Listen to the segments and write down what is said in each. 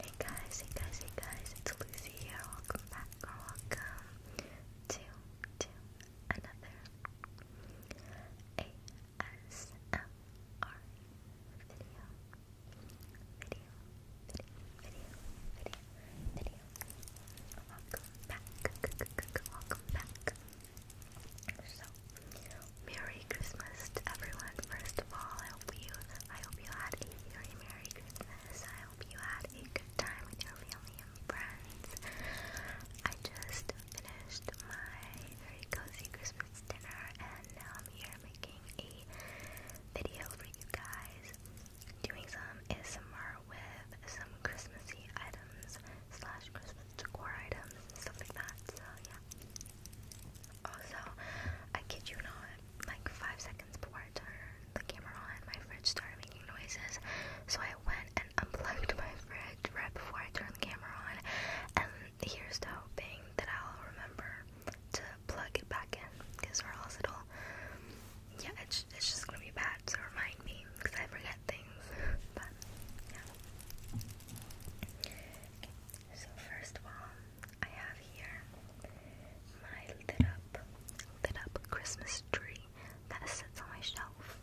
Hey guys, hey guys, hey guys, it's Lucy here. Welcome back or welcome to another ASMR Video, video, video, video, video. Welcome back. Welcome back. So Merry Christmas to everyone. First of all, I hope you I hope you had a very Merry Christmas. I hope you had a good time with your family and friends. I just finished my very cozy Christmas dinner and now I'm here making a video for you guys. Doing some ASMR with some Christmassy items slash Christmas decor items stuff like that. So yeah, also, I kid you not, like five seconds before I turned the camera on, my fridge started making noises. So I went and unplugged my fridge right before I turned the camera on. And here's the hoping that I'll remember to plug it back in, because or else it'll, yeah, it's, it's just gonna be bad. So remind me, because I forget things. but yeah. so first of I have here my lit up, lit up Christmas tree that sits on my shelf.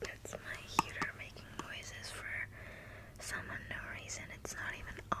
That's my heater making noises for some unknown reason. It's not even on.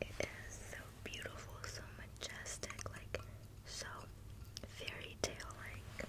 It is so beautiful, so majestic, like so fairy tale like.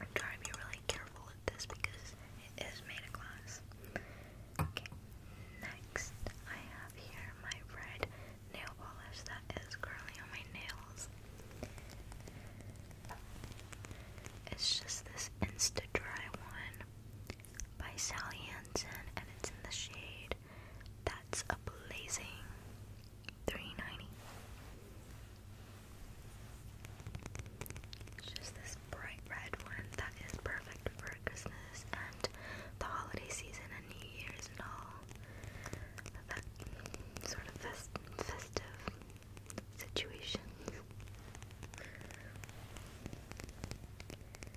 I'm trying to be really careful with this because it is made of glass. Okay, next I have here my red nail polish that is currently on my nails. It's just this Insta Dry one by Sally Hansen and it's in the shade that's a blazing 390. just this bright red one that is perfect for Christmas and the holiday season and New Year's and all that sort of festive situation.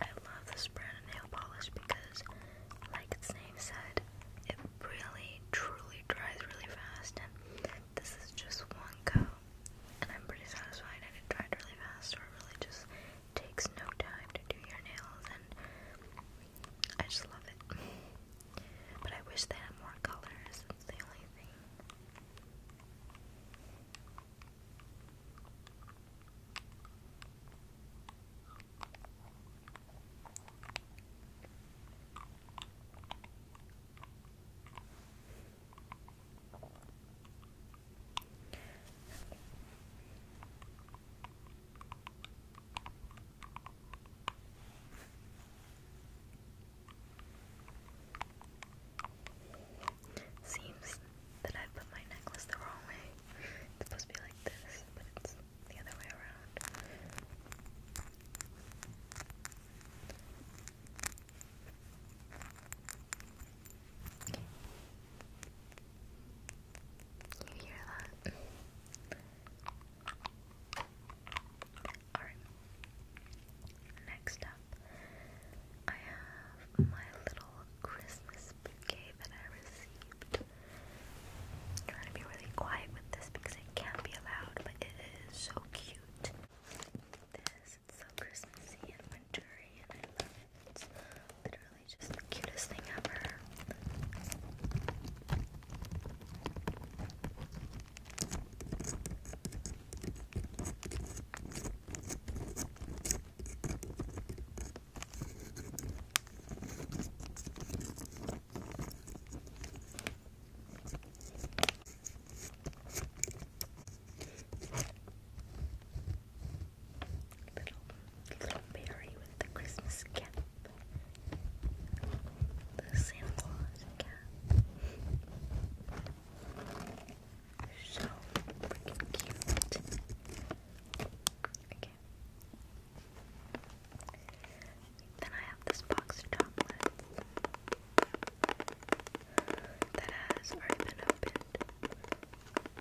I love this brand of nail polish because, like its name said, it really truly dries really fast, and this is just one coat. And I'm pretty satisfied, and it dried really fast, or really just takes no time to do your nails, and I just love it. But I wish they had more colors, that's only Seems that I put my necklace the wrong way. It's supposed to be like this, but it's the other way around. You hear that? Alright. Next up, I have my little Christmas bouquet that I received. trying to be really quiet with this because it can be allowed, but it is so cute. This, it's so Christmassy and wintry, and I love it. It's literally really just the cutest thing ever. Little, little berry with the Christmas cap. The Santa Claus cap. So freaking cute. Okay. Then I have this box of chocolates that has already been opened.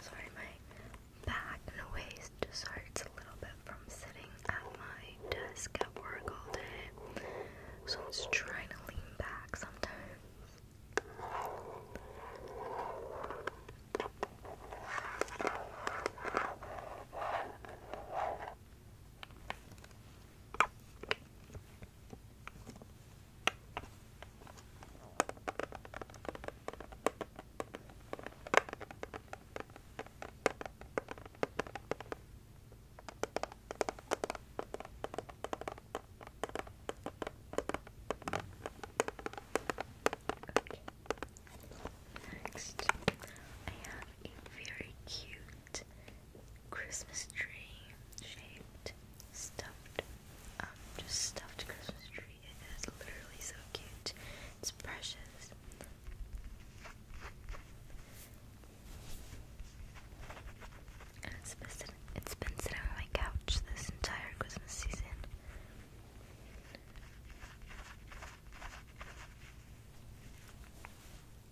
Sorry, my back and waist hurts a little bit from sitting at my desk at work all day. So I'm just trying to lean back sometimes. Okay. Next, I have a very cute Christmas tree shaped stuffed um just stuffed Christmas tree. It is literally so cute. It's precious. And it's been sitting, on my couch this entire Christmas season.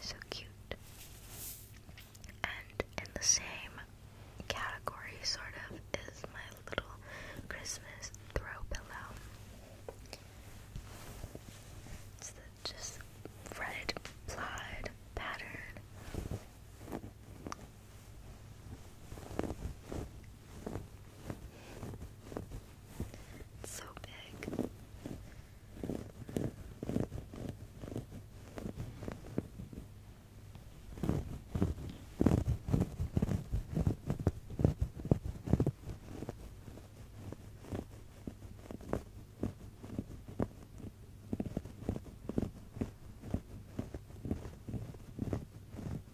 So cute. And in the same category, sort of, is my little Christmas throw pillow. It's the just red plaid pattern so big.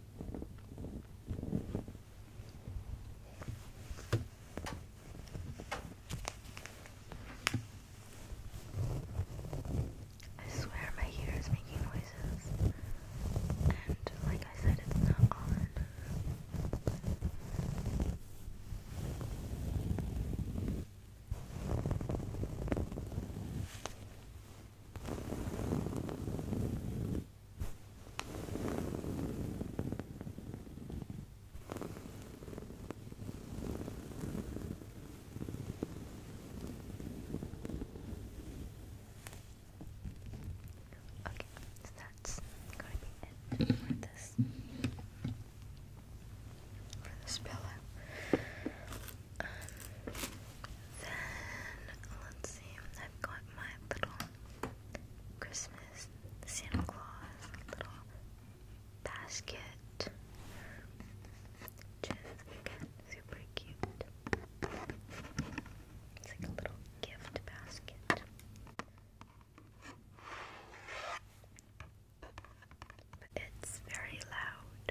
I swear my hair making noises. And like I said, it's not on. Okay, so that's going to be it for this for this pillow then let's see. I've got my little Christmas Santa Claus little basket, which super cute. It's like a little gift basket. But it's very loud.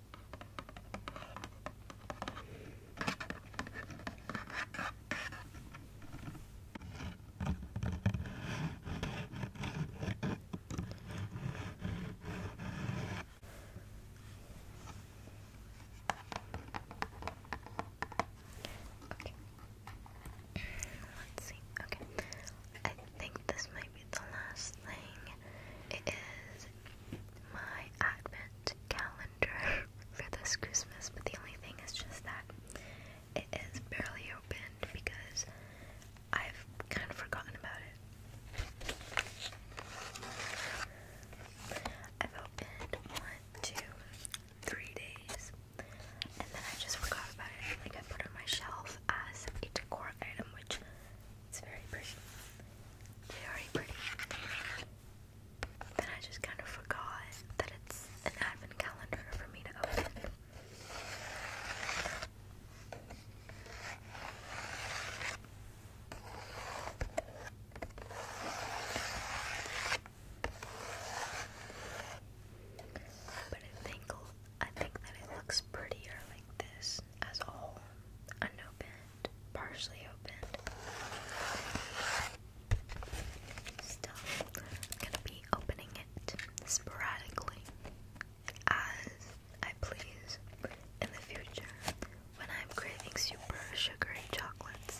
Okay. Let's see. Okay. I think this might be the last thing. It is my advent calendar for this Christmas, but the only thing is just that it is barely opened because I've kind of forgotten about it. I've opened one, two, three days, and then I just forgot about it. Like I put it on my shelf as a decor item, which it's very pretty. Very pretty. Then I just kind of forgot that it's an advent calendar for me to open. But I think I think that it looks prettier like this as all unopened, partially opened. Still, gonna be opening it sporadically as I please in the future when I'm craving super sugary chocolates.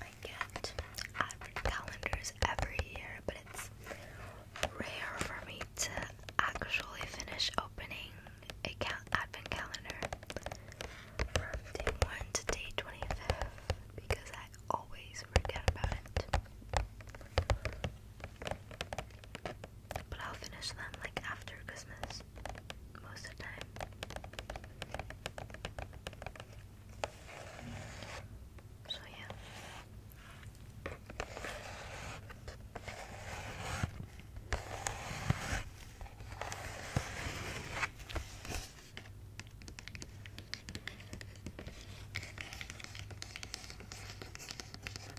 I get advent calendars every year, but it's rare for me to actually finish opening a advent calendar from day one to day twenty-fifth because I always forget about it. But I'll finish them like after Christmas most of the time. So yeah.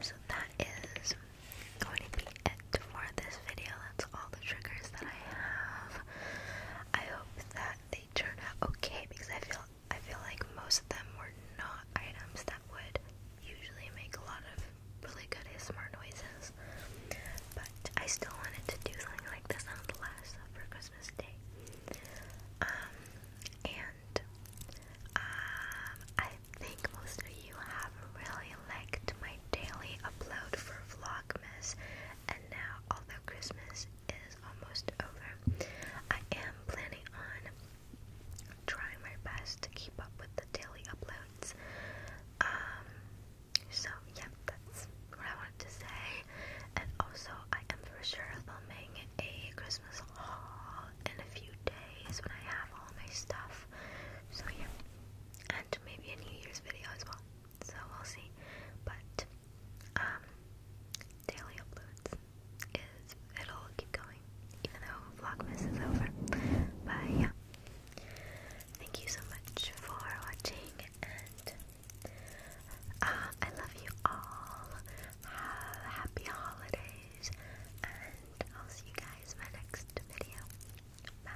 so that is going to be it for this video. That's all the triggers that I have. I hope that they out okay because I feel I feel like most of them were not items that would usually make a lot of really good ASMR noises. But I still wanted to do something like this on the last uh, for Christmas Day. Um, and um, I think most of you have really liked my daily upload for Vlogmas and now although Christmas is almost over. I am planning on trying my best to keep up with the daily uploads. Um, so yeah, that's what I wanted to say. And also, I am for sure filming a Christmas haul in a few days when I have all my stuff. So yeah, and maybe a New Year's video as well so we'll see. But um, daily uploads is it'll keep going, even though Vlogmas is over. But yeah, thank you so much for watching, and uh, I love you all. Have happy holidays, and I'll see you guys in my next video. Bye.